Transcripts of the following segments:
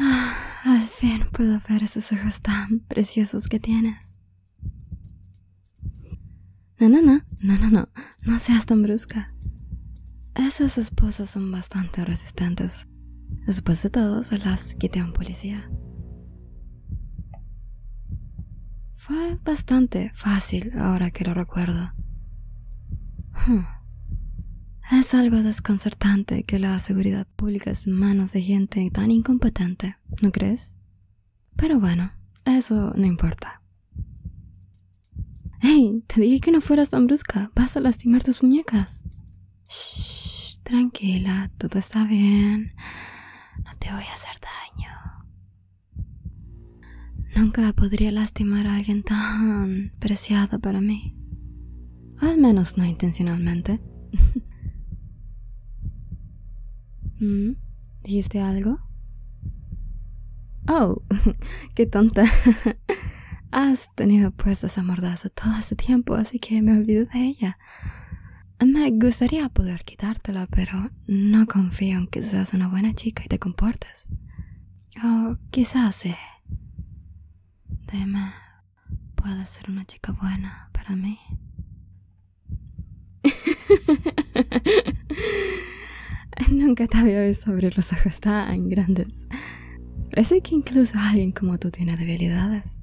Ah, al fin puedo ver esos ojos tan preciosos que tienes. No, no, no, no, no, no, no seas tan brusca. Esas esposas son bastante resistentes. Después de todo, se las quité a un policía. Fue bastante fácil ahora que lo recuerdo. Hmm. Es algo desconcertante que la seguridad pública es en manos de gente tan incompetente, ¿no crees? Pero bueno, eso no importa. ¡Ey! Te dije que no fueras tan brusca. Vas a lastimar tus muñecas. Shh, tranquila, todo está bien. No te voy a hacer daño. Nunca podría lastimar a alguien tan preciado para mí. Al menos no intencionalmente. ¿Mm? ¿Dijiste algo? Oh, qué tonta. Ah, tenido puesta esa mordaza todo ese tiempo, así que me olvido de ella. Me gustaría poder quitártela, pero no confío en que seas una buena chica y te comportes. O quizás sí. Dime, ¿puedes ser una chica buena para mí? Nunca te había visto abrir los ojos tan grandes. Parece que incluso alguien como tú tiene debilidades.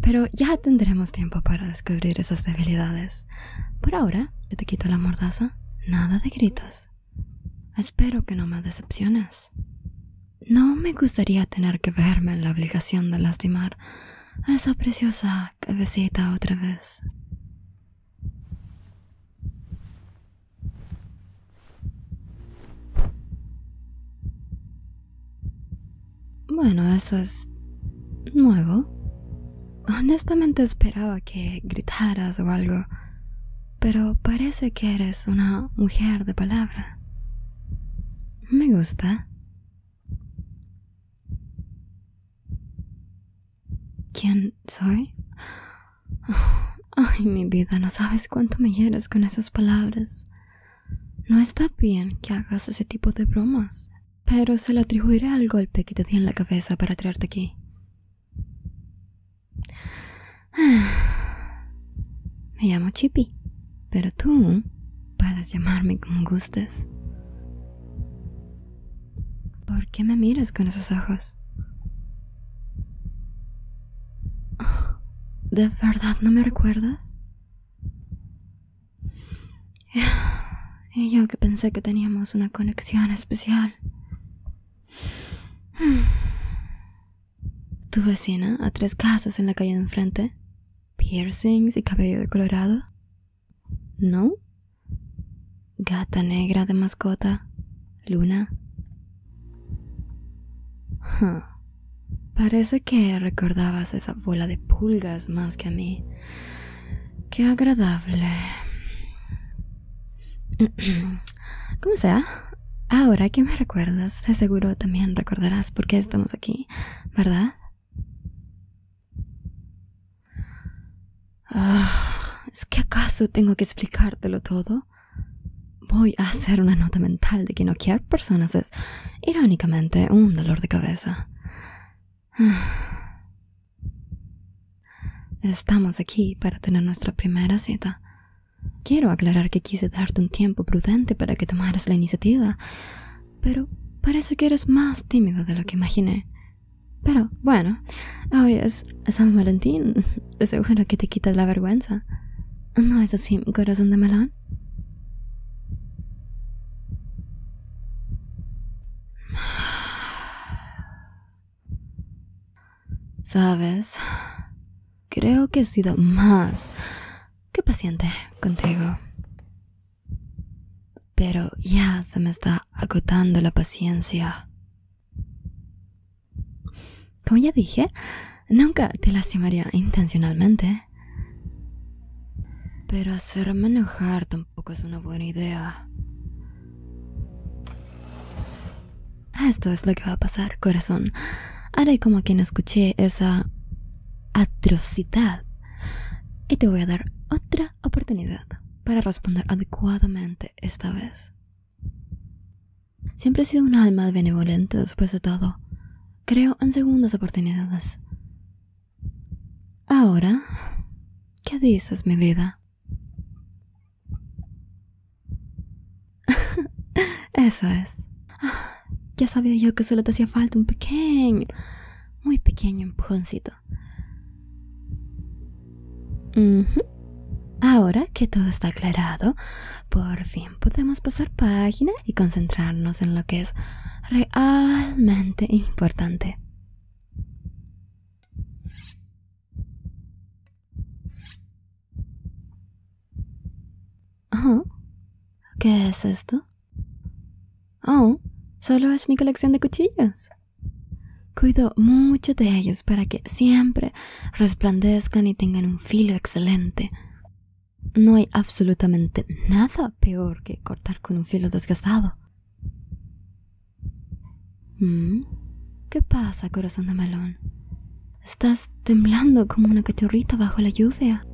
Pero ya tendremos tiempo para descubrir esas debilidades. Por ahora, te quito la mordaza. Nada de gritos. Espero que no me decepciones. No me gustaría tener que verme en la obligación de lastimar a esa preciosa cabecita otra vez. Bueno, eso es nuevo. Honestamente esperaba que gritaras o algo, pero parece que eres una mujer de palabra. Me gusta. ¿Quién soy? Ay, mi vida, no sabes cuánto me hieres con esas palabras. No está bien que hagas ese tipo de bromas, pero se lo atribuiré al golpe que te di en la cabeza para traerte aquí. Me llamo Chippy, pero tú puedes llamarme como gustes. ¿Por qué me miras con esos ojos? ¿De verdad no me recuerdas? Y yo que pensé que teníamos una conexión especial. Tu vecina, a tres casas en la calle de enfrente, piercings y cabello de colorado. ¿No? Gata negra de mascota, luna, Parece que recordabas esa bola de pulgas más que a mí. Qué agradable. ¿Cómo sea, ahora que me recuerdas, de seguro también recordarás por qué estamos aquí, ¿verdad? Ah, ¿Es que acaso tengo que explicártelo todo? Voy a hacer una nota mental de que no quiero personas es, irónicamente, un dolor de cabeza. Estamos aquí para tener nuestra primera cita. Quiero aclarar que quise darte un tiempo prudente para que tomaras la iniciativa, pero parece que eres más tímido de lo que imaginé. Pero bueno, hoy es San Valentín Seguro que te quitas la vergüenza. ¿No es así, corazón de melón? Sabes, creo que he sido más que paciente contigo. Pero ya se me está agotando la paciencia. Como ya dije, nunca te lastimaría intencionalmente. Pero hacerme enojar tampoco es una buena idea. Esto es lo que va a pasar, corazón. Haré como quien escuché esa atrocidad. Y te voy a dar otra oportunidad para responder adecuadamente esta vez. Siempre he sido un alma benevolente después de todo. Creo en segundas oportunidades. Ahora, ¿qué dices, mi vida? Eso es. Ya sabía yo que solo te hacía falta un pequeño, muy pequeño empujoncito. Ahora que todo está aclarado, por fin podemos pasar página y concentrarnos en lo que es realmente importante. ¿Qué es esto? Oh, solo es mi colección de cuchillos. Cuido mucho de ellos para que siempre resplandezcan y tengan un filo excelente. No hay absolutamente nada peor que cortar con un filo desgastado. Mm. ¿Qué pasa, corazón de melón? Estás temblando como una cachorrita bajo la lluvia.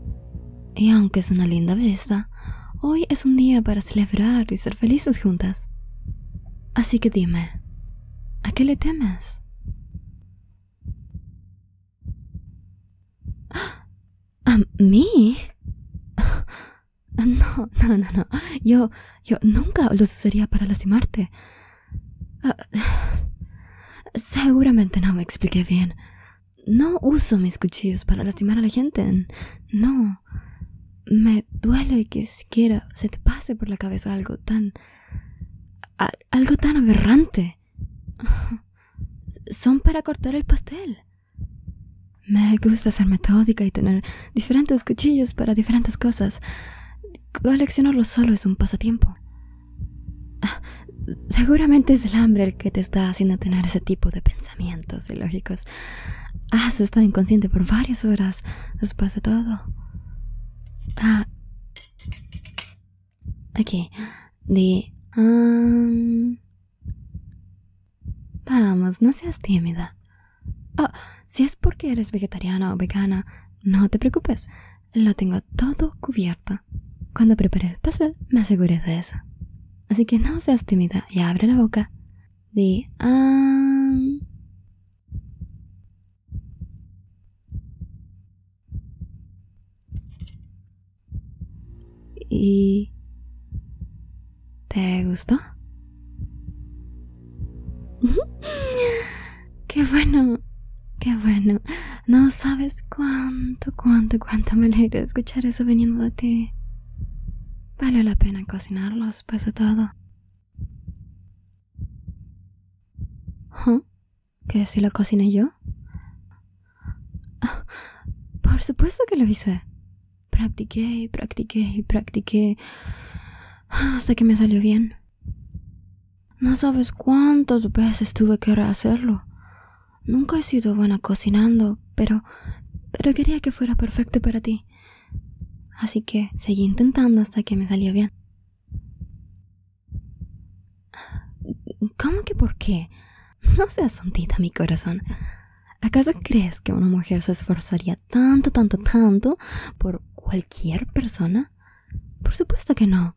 Y aunque es una linda vista, hoy es un día para celebrar y ser felices juntas. Así que dime, ¿A qué le temes? ¿A mí? No, no, no, no. Yo, yo nunca los usaría para lastimarte. Ah, seguramente no me expliqué bien. No uso mis cuchillos para lastimar a la gente. No. Me duele duele que siquiera se te pase por la cabeza algo tan... algo tan aberrante. Son para cortar el pastel. Me gusta ser metódica y tener diferentes cuchillos para diferentes cosas. Coleccionarlo solo es un pasatiempo. Ah, seguramente es el hambre el que te está haciendo tener ese tipo de pensamientos ilógicos. Has ah, estado inconsciente por varias horas después de todo. Ah. Aquí. Di. Um, vamos, no seas tímida. Oh, si es porque eres vegetariana o vegana, no te preocupes. Lo tengo todo cubierto. Cuando preparé el pastel, me asegures de eso. Así que no seas tímida y abre la boca. Di. Um, ¿Y te gustó? qué bueno, qué bueno. No sabes cuánto, cuánto, cuánto me alegra escuchar eso veniendo de ti. Vale la pena cocinarlos, pues de todo. ¿Que si lo cociné yo? por supuesto que lo hice. Practiqué y practiqué y practiqué hasta que me salió bien. No sabes cuántas veces tuve que rehacerlo. Nunca he sido buena cocinando, pero pero quería que fuera perfecto para ti. Así que seguí intentando hasta que me salió bien. ¿Cómo que por qué? No seas tonta mi corazón. ¿Acaso crees que una mujer se esforzaría tanto, tanto, tanto por cualquier persona? Por supuesto que no.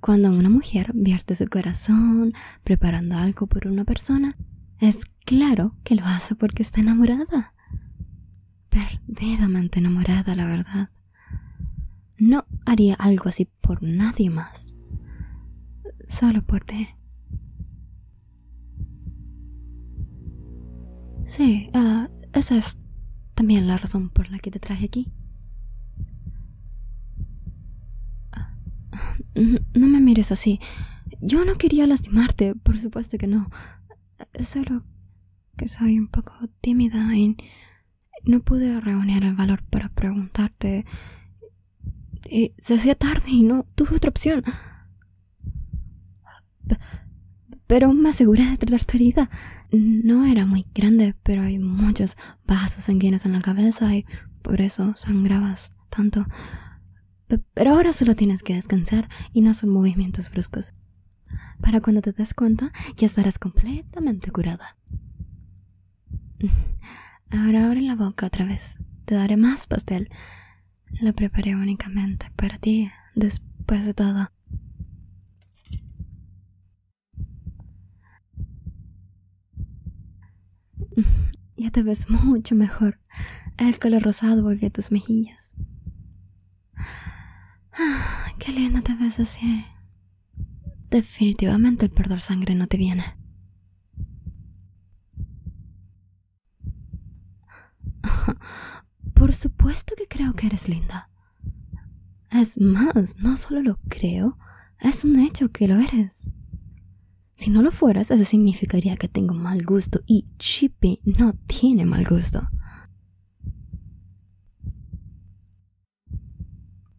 Cuando una mujer vierte su corazón preparando algo por una persona, es claro que lo hace porque está enamorada. Perdidamente enamorada, la verdad. No haría algo así por nadie más. Solo por ti. Sí, ah, esa es también la razón por la que te traje aquí. Ah, no me mires así. Yo no quería lastimarte, por supuesto que no. Solo que soy un poco tímida y no pude reunir el valor para preguntarte. se hacía tarde y no tuve otra opción. pero me aseguré de tratar tu herida. No era muy grande, pero hay muchos vasos sanguíneos en la cabeza y por eso sangrabas tanto. Pero ahora solo tienes que descansar y no son movimientos bruscos. Para cuando te des cuenta, ya estarás completamente curada. Ahora abre la boca otra vez. Te daré más pastel. Lo preparé únicamente para ti, después de todo. Ya te ves mucho mejor. El color rosado volvió a tus mejillas. ¡Qué linda te ves así! Definitivamente el perder sangre no te viene. Por supuesto que creo que eres linda. Es más, no solo lo creo, es un hecho que lo eres. Si no lo fueras, eso significaría que tengo mal gusto y Chippy no tiene mal gusto.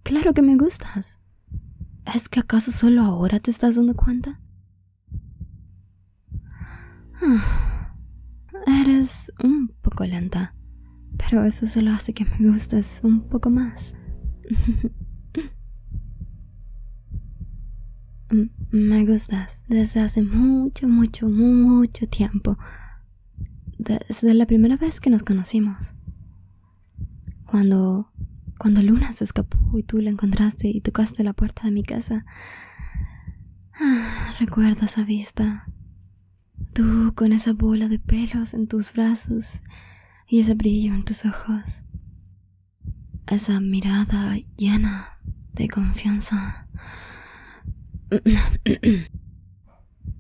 Claro que me gustas. ¿Es que acaso solo ahora te estás dando cuenta? Ah, eres un poco lenta, pero eso solo hace que me gustes un poco más. Mm, me gustas desde hace mucho, mucho, mucho tiempo. Desde la primera vez que nos conocimos. Cuando, cuando Luna se escapó y tú la encontraste y tocaste la puerta de mi casa. Ah, recuerdo esa vista. Tú con esa bola de pelos en tus brazos y ese brillo en tus ojos esa mirada llena de confianza.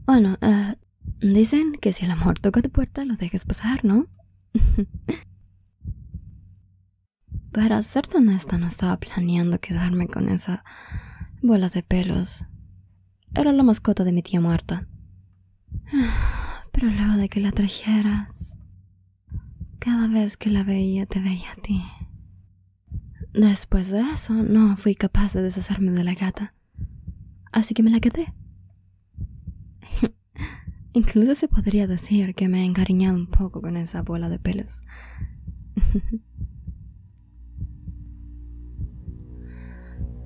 bueno, eh, dicen que si el amor toca tu puerta, lo dejes pasar, ¿no? Para ser honesta, no estaba planeando quedarme con esa bola de pelos. Era la mascota de mi tía muerta. Pero luego de que la trajeras, cada vez que la veía te veía a ti. Después de eso no fui capaz de deshacerme de la gata. Así que me la quedé. Incluso se podría decir que me he encariñado un poco con esa bola de pelos.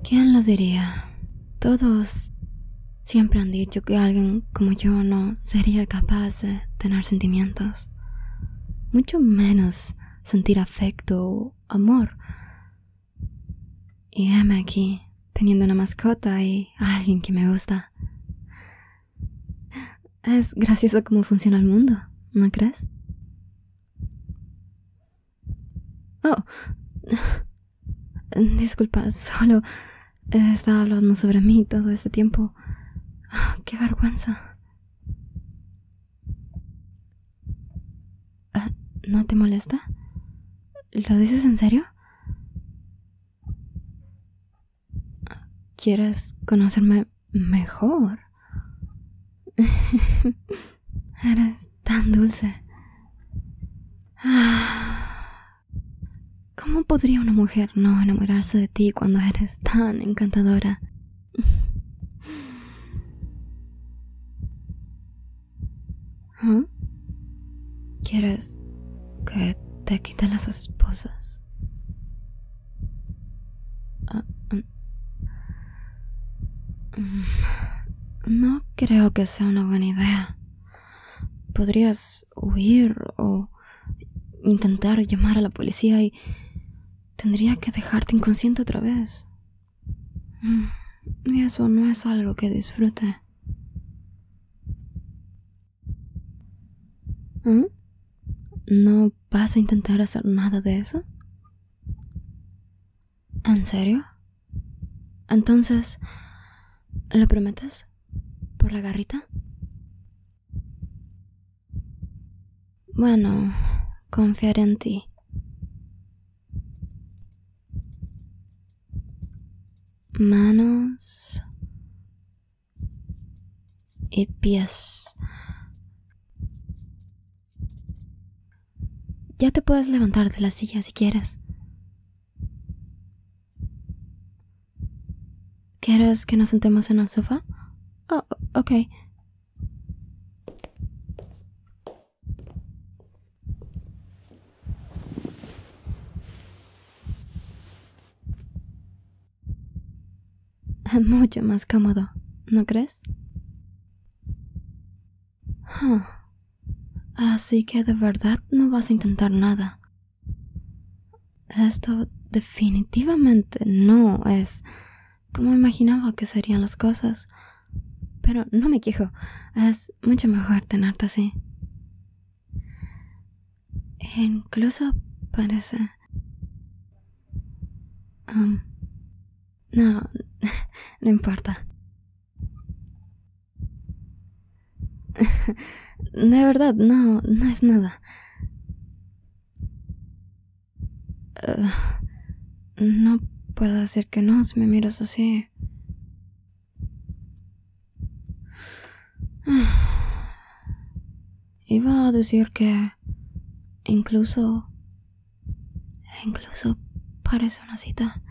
¿Quién lo diría? Todos siempre han dicho que alguien como yo no sería capaz de tener sentimientos, mucho menos sentir afecto o amor. Y heme aquí, teniendo una mascota y alguien que me gusta. Es gracioso cómo funciona el mundo, ¿no crees? Oh, Disculpa, solo he eh, estado hablando sobre mí todo este tiempo. Ah, ¡Qué vergüenza! Ah, ¿No te molesta? ¿Lo dices en serio? ¿Quieres conocerme mejor? Eres tan dulce. Ah. ¿Cómo podría una mujer no enamorarse de ti cuando eres tan encantadora? ¿Ah? ¿Quieres que te quite las esposas? Ah, mm. Mm, no creo que sea una buena idea. Podrías huir o intentar llamar a la policía y tendría que dejarte inconsciente otra vez. Mm, y eso no es algo que disfrute. ¿Mm? ¿No vas a intentar hacer nada de eso? ¿En serio? Entonces, ¿lo prometes? ¿Por la garrita? Bueno, confiaré en ti. Manos y pies. Ya te puedes levantar de la silla si quieres. ¿Quieres que nos sentemos en el sofá? Oh, ok. Mucho más cómodo, ¿no crees? Ah, Así que de verdad no vas a intentar nada. Esto definitivamente no es como imaginaba que serían las cosas. Pero no me quejo, es mucho mejor tenerte así. incluso parece... Um, no, no importa. De verdad, no, no es nada. Eh, no puedo decir que no si me miras así. Iba a decir que incluso... Incluso parece una cita.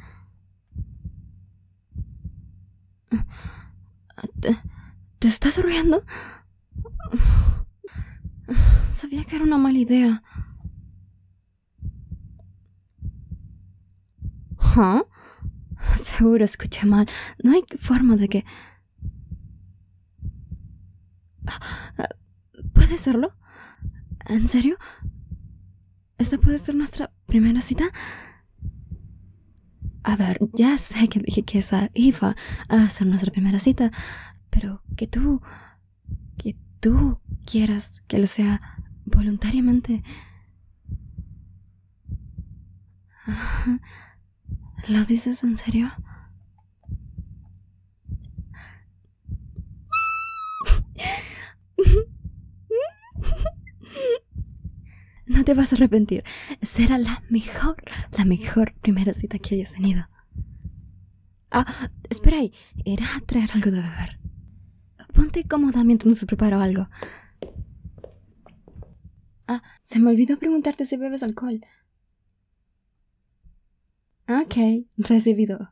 ¿Te, estás riendo? Sabía que era una mala idea. ¿Huh? ¿Ah? Seguro escuché mal. No hay forma de que... ¿Puede serlo? ¿En serio? ¿Esta puede ser nuestra primera cita? A ver, ya sé que dije que esa va a ser nuestra primera cita, pero que tú, que tú quieras que lo sea voluntariamente. ¿Lo dices en serio? No te vas a arrepentir. Será la mejor, la mejor primera cita que hayas tenido. Ah, espera ahí. Irás a traer algo de beber. Ponte cómoda mientras nos preparo algo. Ah, se me olvidó preguntarte si bebes alcohol. Ok, recibido.